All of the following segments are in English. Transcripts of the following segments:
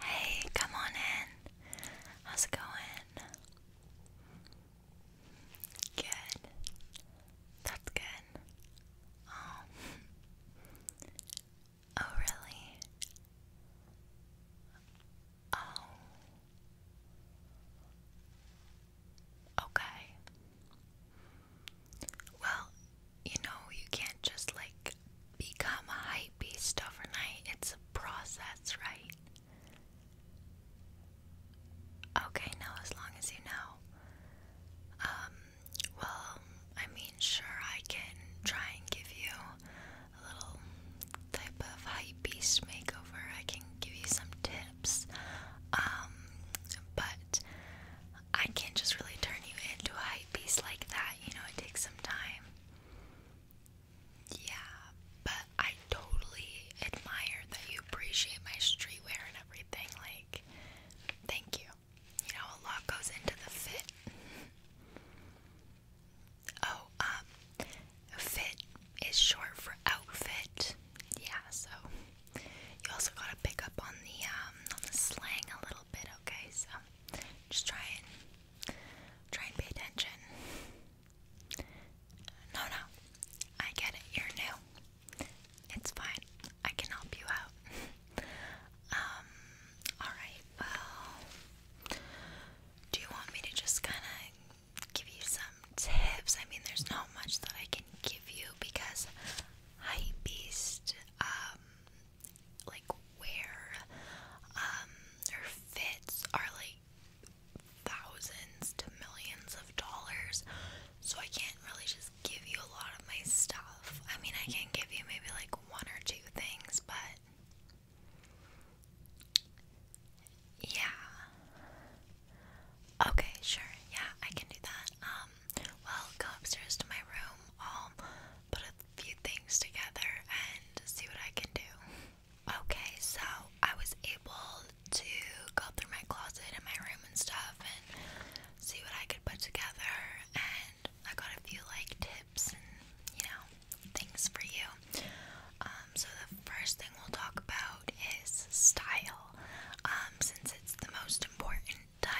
Hey, come on in. How's it going? Good. That's good. Oh. Oh, really? Oh. Okay. Well, you know, you can't just like become a hype beast overnight. It's a process, right? Okay, no, as long as you know. Um, well, I mean, sure, I can try and give you a little type of hype beast makeover. I can give you some tips. Um, but I can't just really turn you into a hype beast like that you know, it takes some time. Yeah, but I totally admire that you appreciate my streetwear and everything. Like, thank you. You know, a lot goes into the fit. Oh, um, fit is short for outfit. Yeah, so you also gotta pick up on the um on the slang a little bit, okay? So just try and try and pay attention. No, no, I get it. You're new. It's fine. I can help you out. um. All right. Well, do you want me to just kind of give you some tips? I mean, there's not much that I can give you because Hypebeast um like wear um fits are like thousands to millions of dollars so I can't really just give you a lot of my stuff. I mean I can give you maybe like one or two things but yeah. Okay, sure. Yeah, I can do that. Um well go upstairs to my room. Um put a few things together and see what I can do. Okay, so I was able to go through my closet and my room and stuff and see what I could put together, and I got a few like tips and you know things for you. Um, so the first thing we'll talk about is style. Um, since it's the most important tie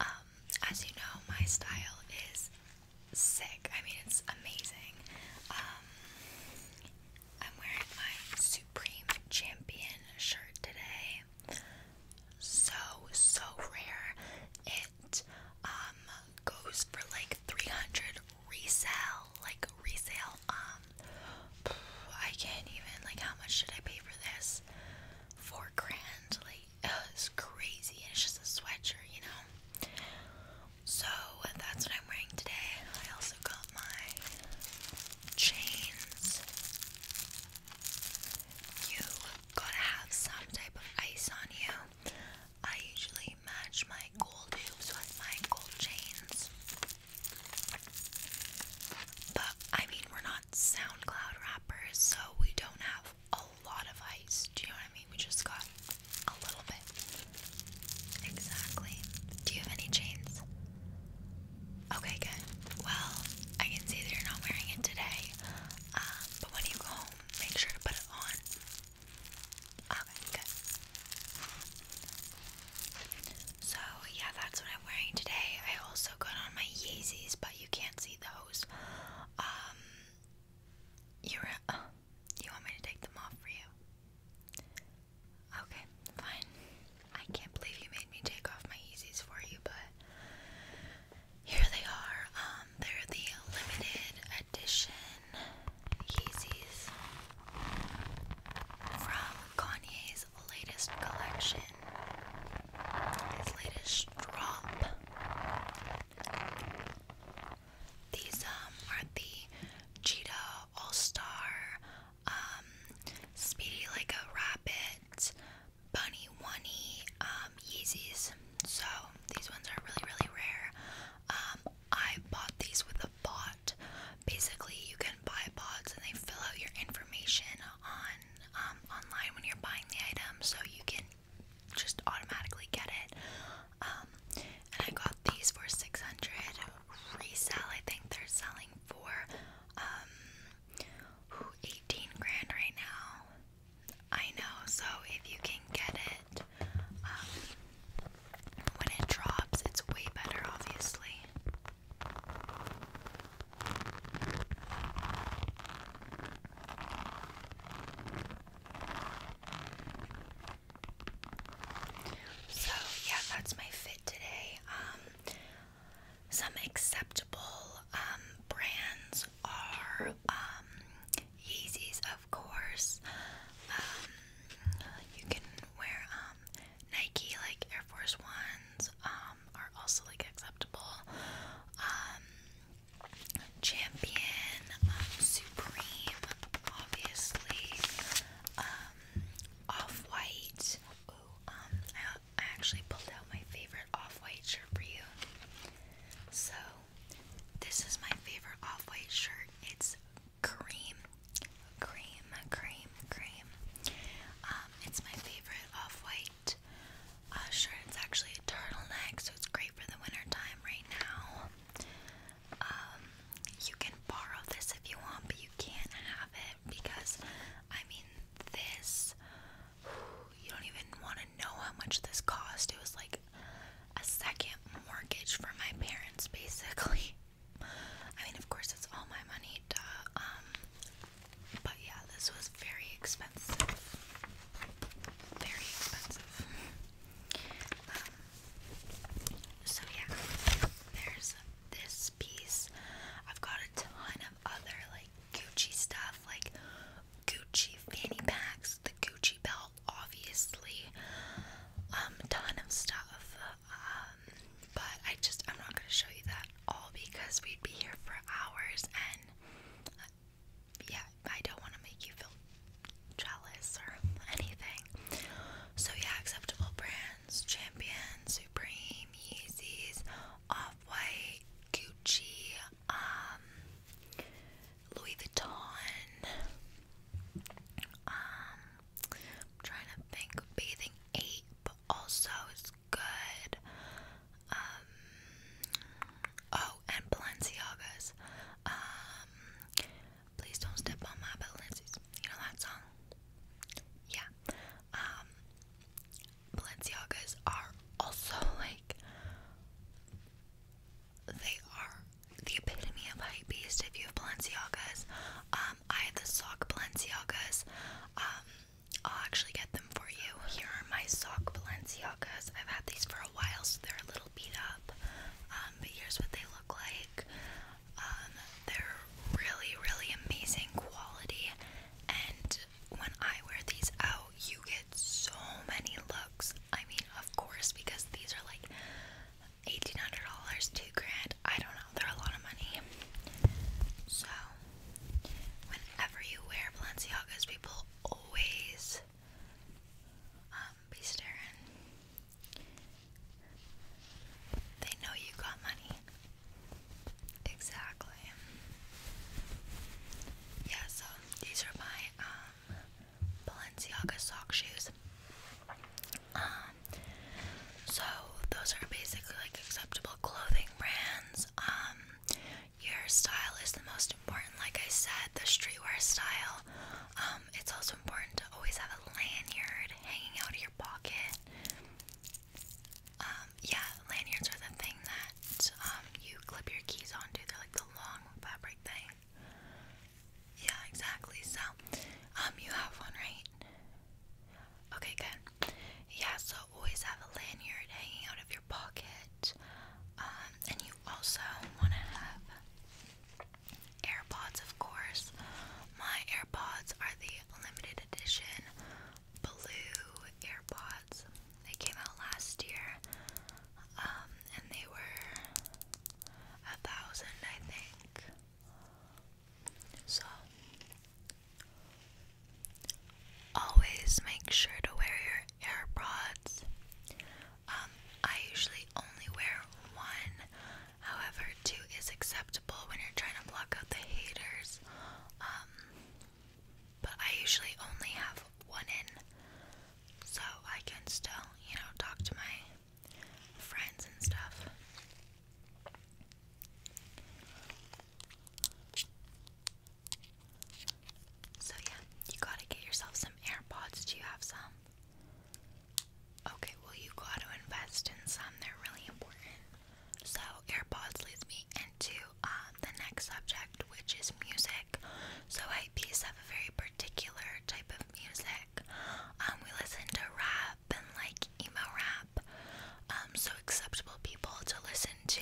um, as you know, my style is sick. I mean, it's amazing. Um, I'm wearing my Supreme Champion shirt today. So, so rare. It um, goes for like 300 resale, like resale. Um, I can't even, like, how much did I pay for this? Four grand, like, it crazy, it's just a sweatshirt, you know. So that's what I'm wearing today. I also got my chains. You gotta have some type of ice on you. I usually match my gold hoops with my gold chains. But I mean, we're not SoundCloud rappers, so we don't have a lot of ice. Do you know what I mean? We just got a little bit. Exactly. Do you have any chains? Okay, good. Well, I can see that you're not wearing it today, um, but when you go home, make sure to put it on. Okay, good. So, yeah, that's what i wearing today. I also got on my Yeezys, but you can't see those. Um, uh, you want me to take them off for you? Okay, fine. I can't believe you made me take off my Yeezys for you, but here they are. Um, they're the limited edition Yeezys from Kanye's his latest collection, his latest drop. These um are the Cheetah All Star, um, Speedy Like a Rabbit, Bunny Wunny, um, Yeezys. So these ones are really really rare. Um, I bought these with a bot. Basically, you can buy bots and they fill out your information on um, online when you're buying the item, so you can just automatically get it. Um, and I got these for 600 resale. I think they're selling for um, 18 grand right now. I know, so if you can get it um, when it drops, it's way better, obviously. So, yeah, that's my fit today. Um, some acceptable um, brands are um, Yeezys, of course. Um, you can wear Nike, like Air Force Ones, um, are also like acceptable. Um, Champion, um, Supreme, obviously. Um, Off White. Ooh, um, I actually pulled out my favorite Off White shirt for you. So, this is my favorite Off White shirt. It's cream, cream, cream, cream. Um, it's my favorite Off White white uh, shirt. It's actually a turtleneck, so it's great for the winter time right now. Um, you can borrow this if you want, but you can't have it because, I mean, this you don't even want to know how much this cost. It was like a second mortgage for my parents, basically. I mean, of course, it's all my money, duh. Um, but yeah, this was very expensive. Very expensive. Um, so yeah, there's this piece. I've got a ton of other like Gucci stuff, like Gucci fanny packs, the Gucci belt, obviously. Um, ton of stuff. Uh, but I just I'm not gonna show you that all because we'd be here for hours and uh, yeah I don't want to make you feel jealous or anything so yeah acceptable brands Champion Supreme Yeezys Off-White Gucci um, Louis Vuitton um trying to think Bathing Ape also is good. Um, oh, and Balenciagas. Um, please don't step on my Balenciagas. You know that song? Yeah. Um, Balenciagas are also like they are the epitome of hype beast if you have Balenciagas. I have the sock Balenciagas. I'll actually get them for you. Here are my sock Balenciagas. I've had these for a while, so they're a little beat up. Um, but here's what they look like. Um, they're really, really amazing quality. And when I wear these out, you get so many looks. I mean, of course, because these are like $1,800, two grand. I don't know, they're a lot of money. So, whenever you wear Balenciagas, people always um, be staring. They know you got money. Exactly. Yeah, so these are my um, Balenciaga sock shoes. Um, so those are basically like acceptable clothing brands. Um, your style is the most important, like I said, the streetwear style. Um, it's also important to always have a lanyard hanging out of your pocket. Um, yeah, lanyards are the thing that you clip your keys onto. They're like the long fabric thing. Yeah, exactly. So, you have one, right? Okay, good yeah, so always have a lanyard hanging out of your pocket. Um, and you also want to have AirPods, of course. My AirPods are the limited edition blue AirPods. They came out last year, um, and they were a thousand, I think. So, always make sure to wear your AirPods. Um, I usually only wear one, however, two is acceptable when you're trying to block out the haters. Um, but I usually only have one in, so I can still, you know, talk to my friends and stuff. So, yeah, you gotta get yourself some AirPods. Do you have some? Okay, well, you gotta invest in some, they're really important. So, AirPods leads me into uh, the next subject, which is music. So, IPs have a very particular type of music. Um, we listen to rap and like emo rap. Um, so acceptable people to listen to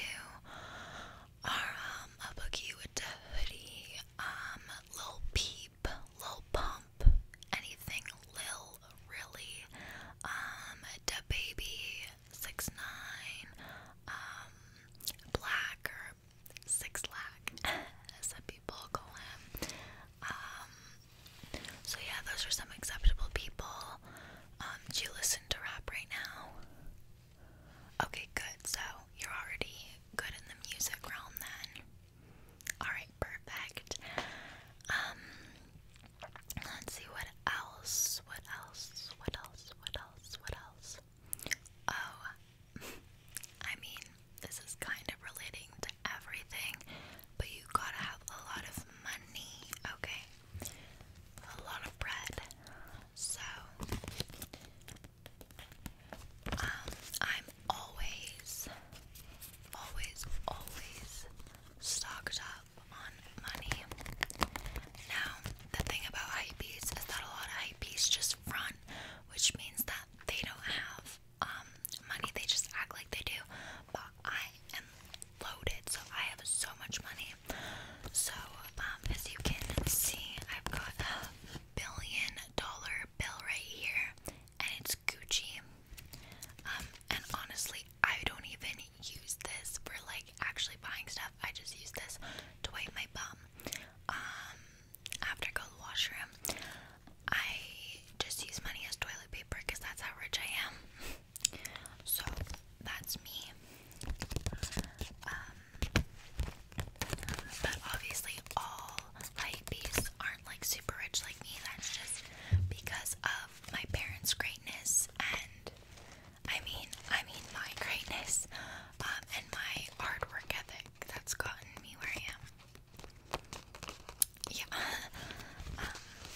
are um, a boogie with the hoodie, um, Lil Peep, Lil Pump, anything Lil really, um, Six Nine, Black or Six some people call him, so yeah, those are some acceptable people. Um, do you listen to rap right now? Okay, good. So you're already good in the music realm then. Alright, perfect. Um, let's see what else. What else? What else? What else? What else? Oh I mean, this is kind of relating everything, but you gotta have a lot of money, okay? A lot of bread. So, um, I'm always, always, always stocked up on money. Now, the thing about hypebeasts is that a lot of hypebeasts just run, which means that they don't have um money. They just act like they do, but I am loaded, so I have so much money. So um, as you can see, I've got a billion dollar bill right here, and it's Gucci. Um, and honestly, I don't even use this for like actually buying stuff. I just use this to wipe my bum. Um, after go to the washroom. I just use money as toilet paper because that's how rich I am. so that's me. Um, but obviously, all hypebeasts aren't like super rich like me. That's just because of my parents' greatness and I mean, I mean my greatness um, and my hard work ethic that's gotten me where I am. Yeah. Um,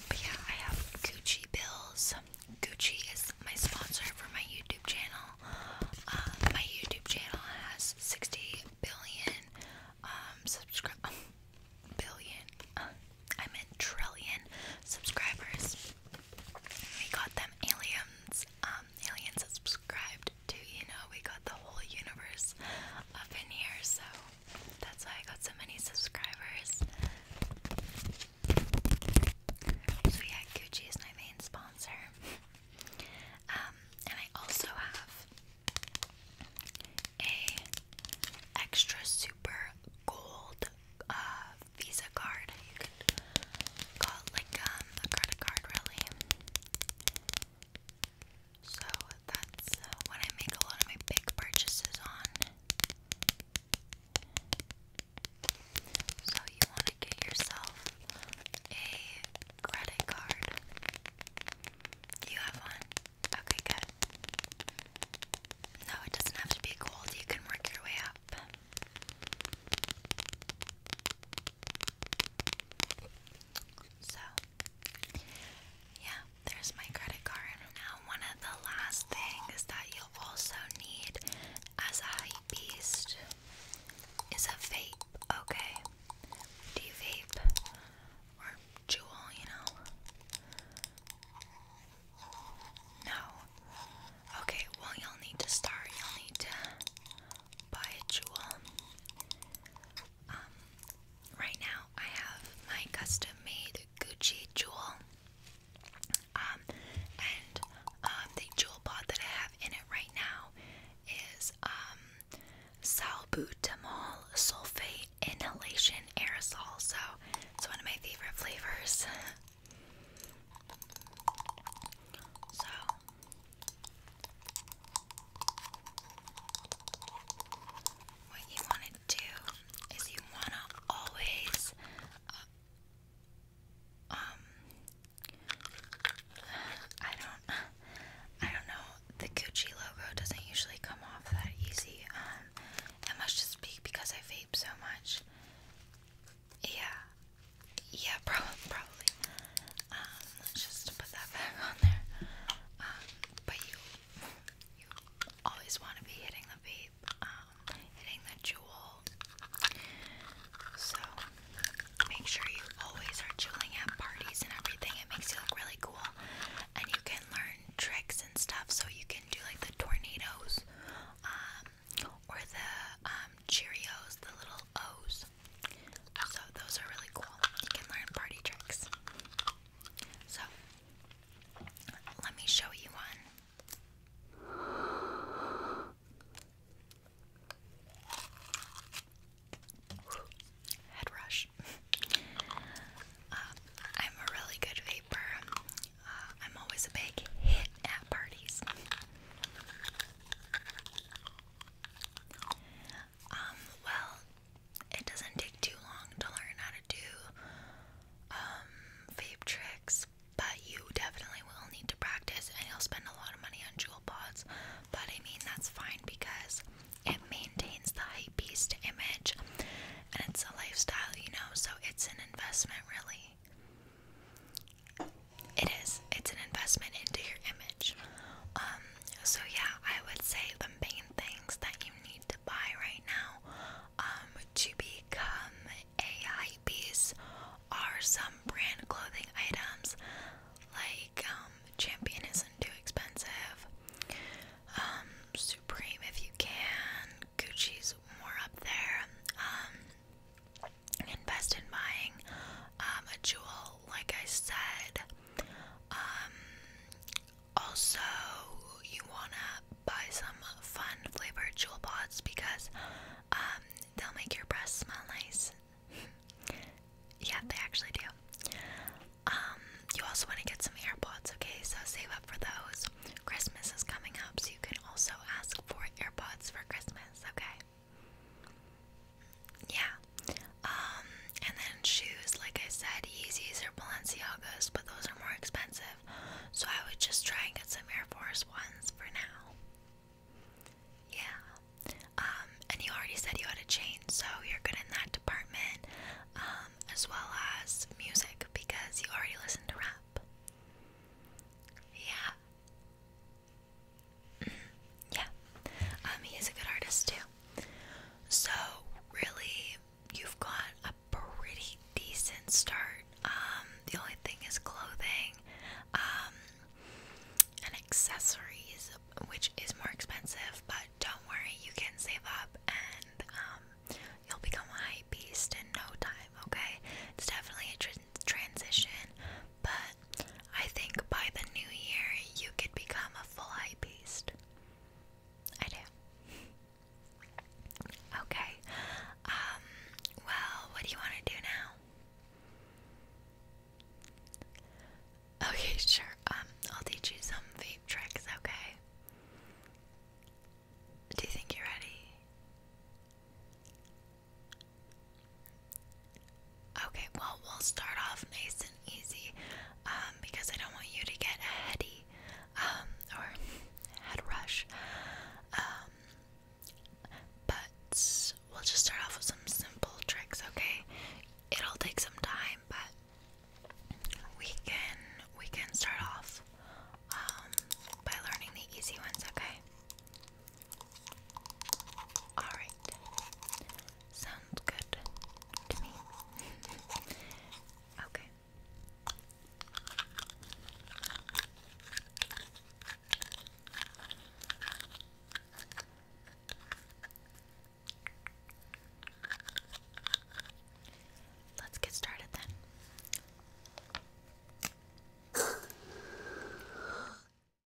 but yeah, I have Gucci bills. Gucci is my sponsor for my YouTube channel. Uh, my YouTube channel has 60 billion um subscribe billion. Uh, I meant trillion subscribers. We got them aliens. Um, aliens subscribed to you know we got the whole universe up in here. So that's why I got so many subscribers. So yeah, Gucci is my main sponsor. Um, and I also have a extra super gold uh, Visa card. You like um, a credit card, really. So that's uh, what I make a lot of my big purchases on. So you want to get yourself a credit card. You have one? Okay, good. No, it doesn't have to be gold. You can work your way up. So, yeah, there's my credit card. And Now, one of the last things that you'll also need as a hype beast is a vape, okay? Do you vape? Or jewel, you know? No. Okay, well, you'll need to start. You'll need to buy a jewel. Um, right now I have my custom made Gucci jewel. Um, and um, the jewel pod that I have in it right now is um, salbutamol sulfate inhalation aerosol. So it's one of my favorite flavors. so what you want to do is you want to always uh, um I don't I don't know the Gucci logo doesn't usually come off that easy um it must just be because I vape so much yeah yeah, probably. Um, just put that back on there. Um, but you, you always want to be hitting the vape, um, hitting the jewel. So make sure you always are jeweling at parties and everything. It makes you look really cool, and you can learn tricks and stuff. So you can do like the tornadoes, um, or the Cheerios, the little O's. So those are really cool. You can learn party tricks. So let me show you one. Head rush. Uh, I'm a really good vapor. Uh, I'm always a big hit at parties. Um, well, it doesn't take too long to learn how to do um vape tricks, but you definitely will need to practice and you'll spend a lot of money on jewel pods. But I mean that's fine because it maintains the hype beast image and it's a lifestyle, you know, so it's an investment really. It is. It's an investment into your image. Um, so yeah, I would say the main things that you need to buy right now um, to become a hype piece are some brand clothing items like um, Champion isn't too expensive, Supreme if you can, Gucci's more up there. invest in buying a jewel well, like I said. Um, also, you want to buy some fun flavored jewel pods because um, they'll make your breath smell nice. yeah, they actually do. Um, you also want to get some AirPods, okay? So save up for those. Christmas is coming up, so you can also ask for AirPods for Christmas, okay? Yeah. Um, and then shoes, like I said, Yeezys or Balenciagas, but those are more expensive. So I would just try and get some Air Force Ones for now. Yeah. Um, and you already said you had a chain, so you're good in that department, um, as well as music because you already listen to rap. Yeah yeah, um, he a good artist too. So really, you've got a pretty decent start. Um, the only thing is clothing, um, and accessories, which is more expensive. But don't worry, you can save up, and um, you'll become a hype beast in no time. Okay, it's definitely a transition, but I think by the new year you could become a full beast. I do. Okay. Um, well, what do you want to do now? Okay, sure. Um, I'll teach you some vape tricks, okay? Do you think you're ready? Okay, well, we'll start off nice and easy um, because I don't want you to get heady um, or head rush. Um, but we'll just start off with some simple tricks, okay? It'll take some time, but we can we can start off by learning the easy ones, okay? Alright. Sounds good to me. okay. Let's get started then.